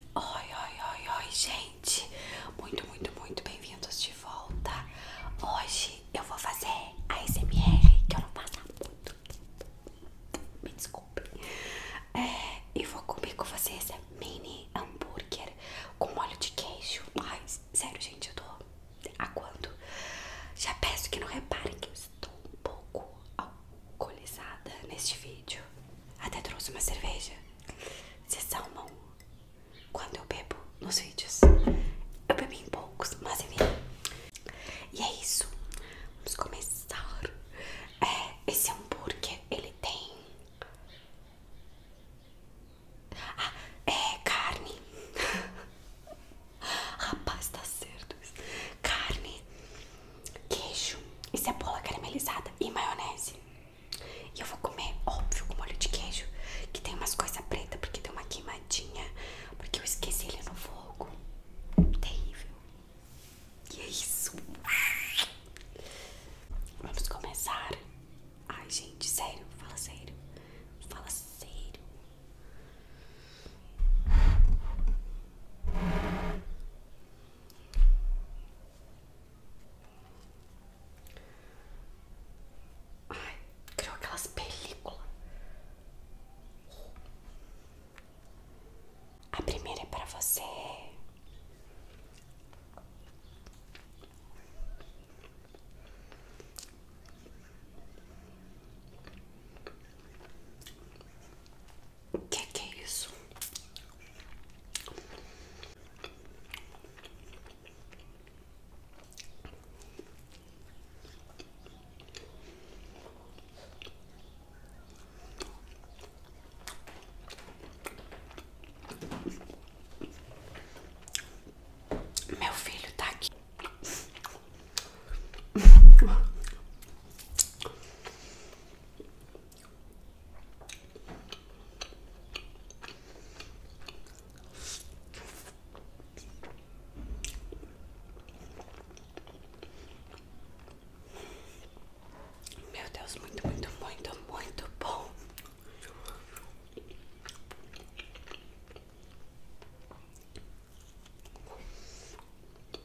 Oi, oi, oi, oi, gente! Muito, muito, muito bem-vindos de volta! Hoje eu vou fazer a SMR que eu não faço muito. Me desculpe. É, e vou comer com vocês mini hambúrguer com óleo de queijo. Ai, sério, gente, eu tô aguando. Já peço que não reparem que eu estou um pouco alcoolizada neste vídeo. Até trouxe uma cerveja. Vocês salmam quando eu bebo nos vídeos. Eu bebi em poucos, mas enfim. E é isso. Vamos começar. É, esse hambúrguer, ele tem... Ah, é carne. Rapaz, tá certo. Carne queijo e cebola caramelizada e maionese. E eu vou comer, óbvio, com molho de queijo, que tem umas coisas pretas, porque deu uma queimadinha, porque eu esqueci ele no fogo. Terrível. E é isso. Vamos começar. Ai, gente, sério, fala sério. Fala sério. Ai, criou aquelas películas. A primeira é para você. O é que, é isso? Meu filho tá aqui. Meu Deus, muito, muito, muito, muito bom.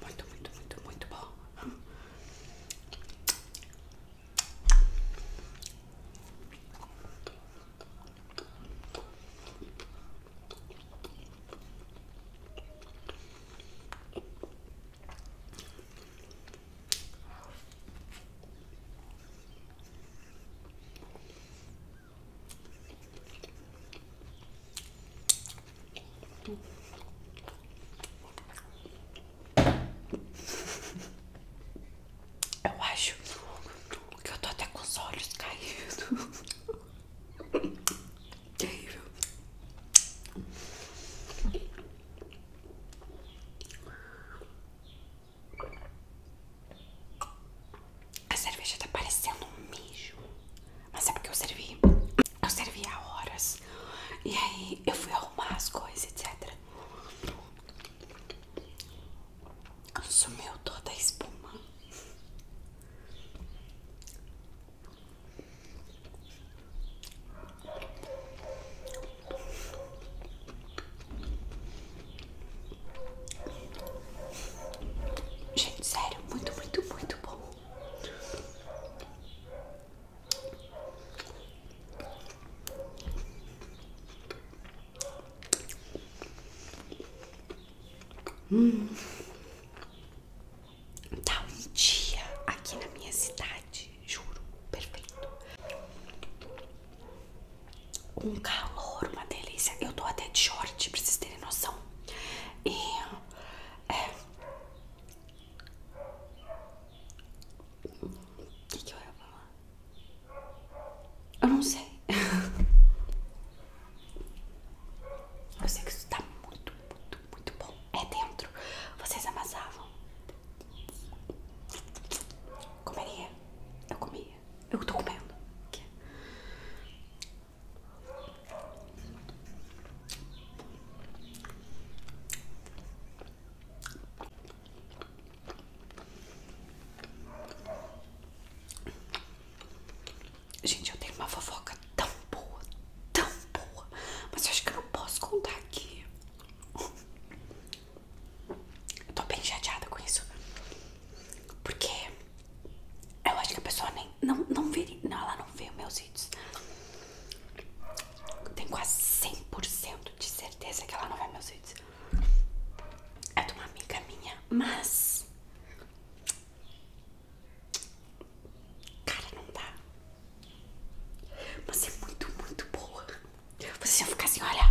Muito, muito, muito, muito bom. Eu acho que eu tô até com os olhos caídos. Terrível. A cerveja tá parecendo um mijo. Mas é porque eu servi. Eu servi há horas. E aí eu fui arrumar as coisas, etc. Consumiu toda a espuma. Gente, sério, muito, muito, muito bom. Hum. Tá um dia aqui na minha cidade juro, perfeito. Um calor, uma delícia. Eu tô até de short, pra vocês terem noção. E é. O que, que eu ia falar? Eu não sei. eu sei que isso tá muito, muito, muito bom. É dentro. Vocês amassavam Comeria. Eu comia. Eu tô comendo. Gente, eu tenho uma fofoca tão boa, tão boa, mas eu acho que eu não posso contar aqui. Eu tô bem chateada com isso. Porque eu acho que a pessoa nem. Não, não vê. Não, ela não vê meus vídeos. Eu tenho quase 100% de certeza que ela não vê meus vídeos. É de uma amiga minha, mas. Cara, não dá. você é muito, muito boa. Vocês vão ficar assim, olha.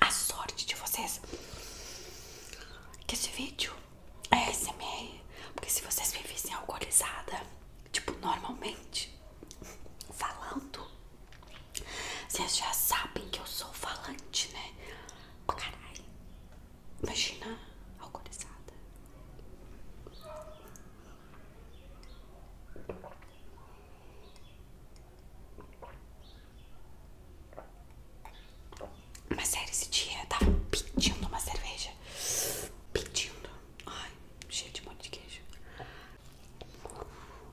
A sorte de vocês que esse vídeo é SMR, porque se vocês me vissem alcoolizada, tipo normalmente falando, vocês já sabem que eu sou falante, né? Caralho. Imagina alcoolizada. Mas sério, esse dia eu tava pedindo uma cerveja. Pedindo. Ai, cheio de monte de queijo.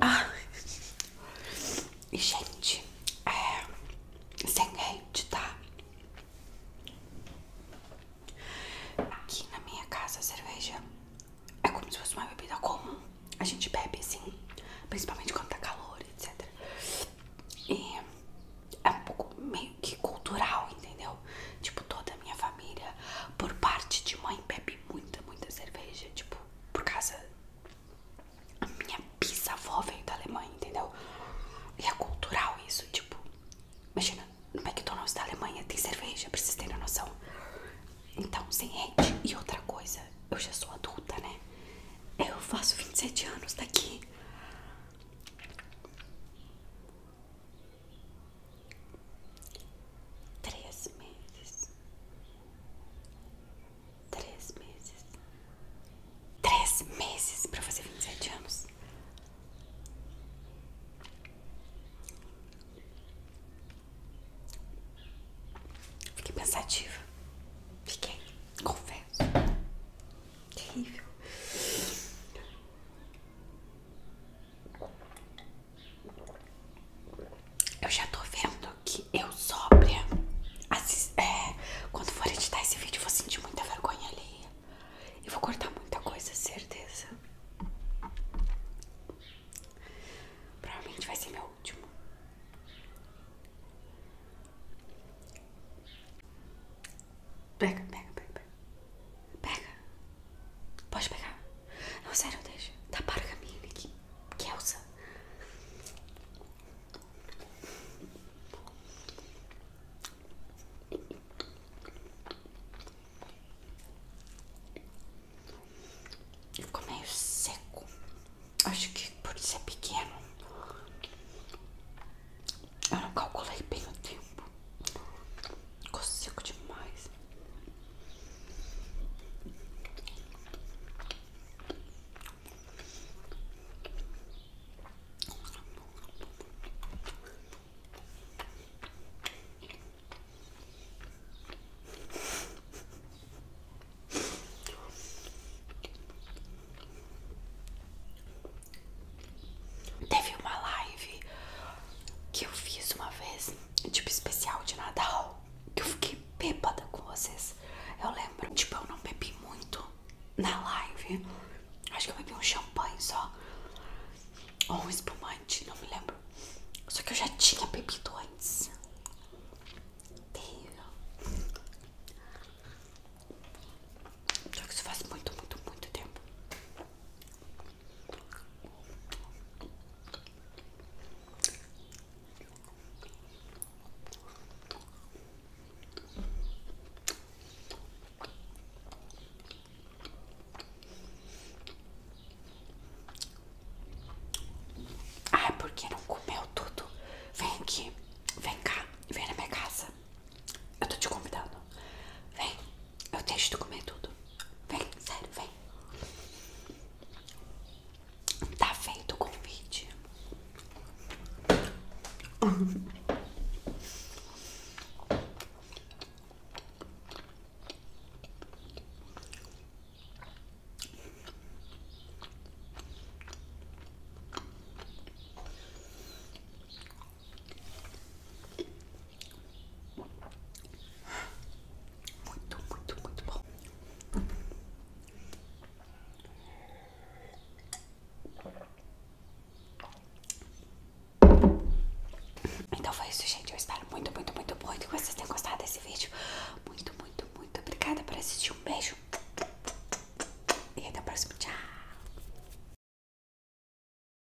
Ah. E, gente, é. Sem hate, tá? Aqui na minha casa, a cerveja é como se fosse uma bebida comum. A gente bebe assim, principalmente quando tá calor, etc. E é um pouco meio que cultural, entendeu? Tipo, toda a minha família, por parte de mãe, bebe muita, muita cerveja. Tipo, por causa. A minha bisavó veio da Alemanha, entendeu? E é cultural isso, tipo. Imagina, no McDonald's da Alemanha tem cerveja, pra vocês terem a noção. Então, sem hate. E outra coisa, eu já sou adulta, né? Eu faço 27 anos daqui. Três meses. Três meses. Três meses pra fazer vinte e sete anos. Fiquei pensativa. Fiquei, confesso. Terrível. Eu já tô vendo que eu sóbria. É, quando for editar esse vídeo, eu vou sentir muita vergonha alheia. E vou cortar muita coisa, certeza. Provavelmente vai ser meu último. pega, pega, pega. Pega. Pode pegar. Não, sério, deixa. Tá para a minha aqui. Kelsa. É Ficou meio é seco. Acho que por ser é pequeno. Eu não calculei bem o tempo. Ficou seco demais. Teve uma live que eu fiz uma vez tipo especial de Natal, que eu fiquei bêbada com vocês. Eu lembro, tipo, eu não bebi muito na live. Acho que eu bebi um champanhe só. Ou um espumante, não me lembro. Só que eu já tinha bebido antes. Terrível. Só que isso faz muito, muito, muito tempo ai porque não comeu tudo? Vem aqui, vem cá, vem na minha casa. Eu tô te convidando. Vem, eu deixo de comer tudo. Vem, sério, vem. Tá feito o convite. Muito, muito, muito bom. Então foi isso, gente. Eu espero muito, muito, muito, muito que vocês tenham gostado desse vídeo. Muito, muito, muito obrigada por assistir. Um beijo. E até o próximo. Tchau.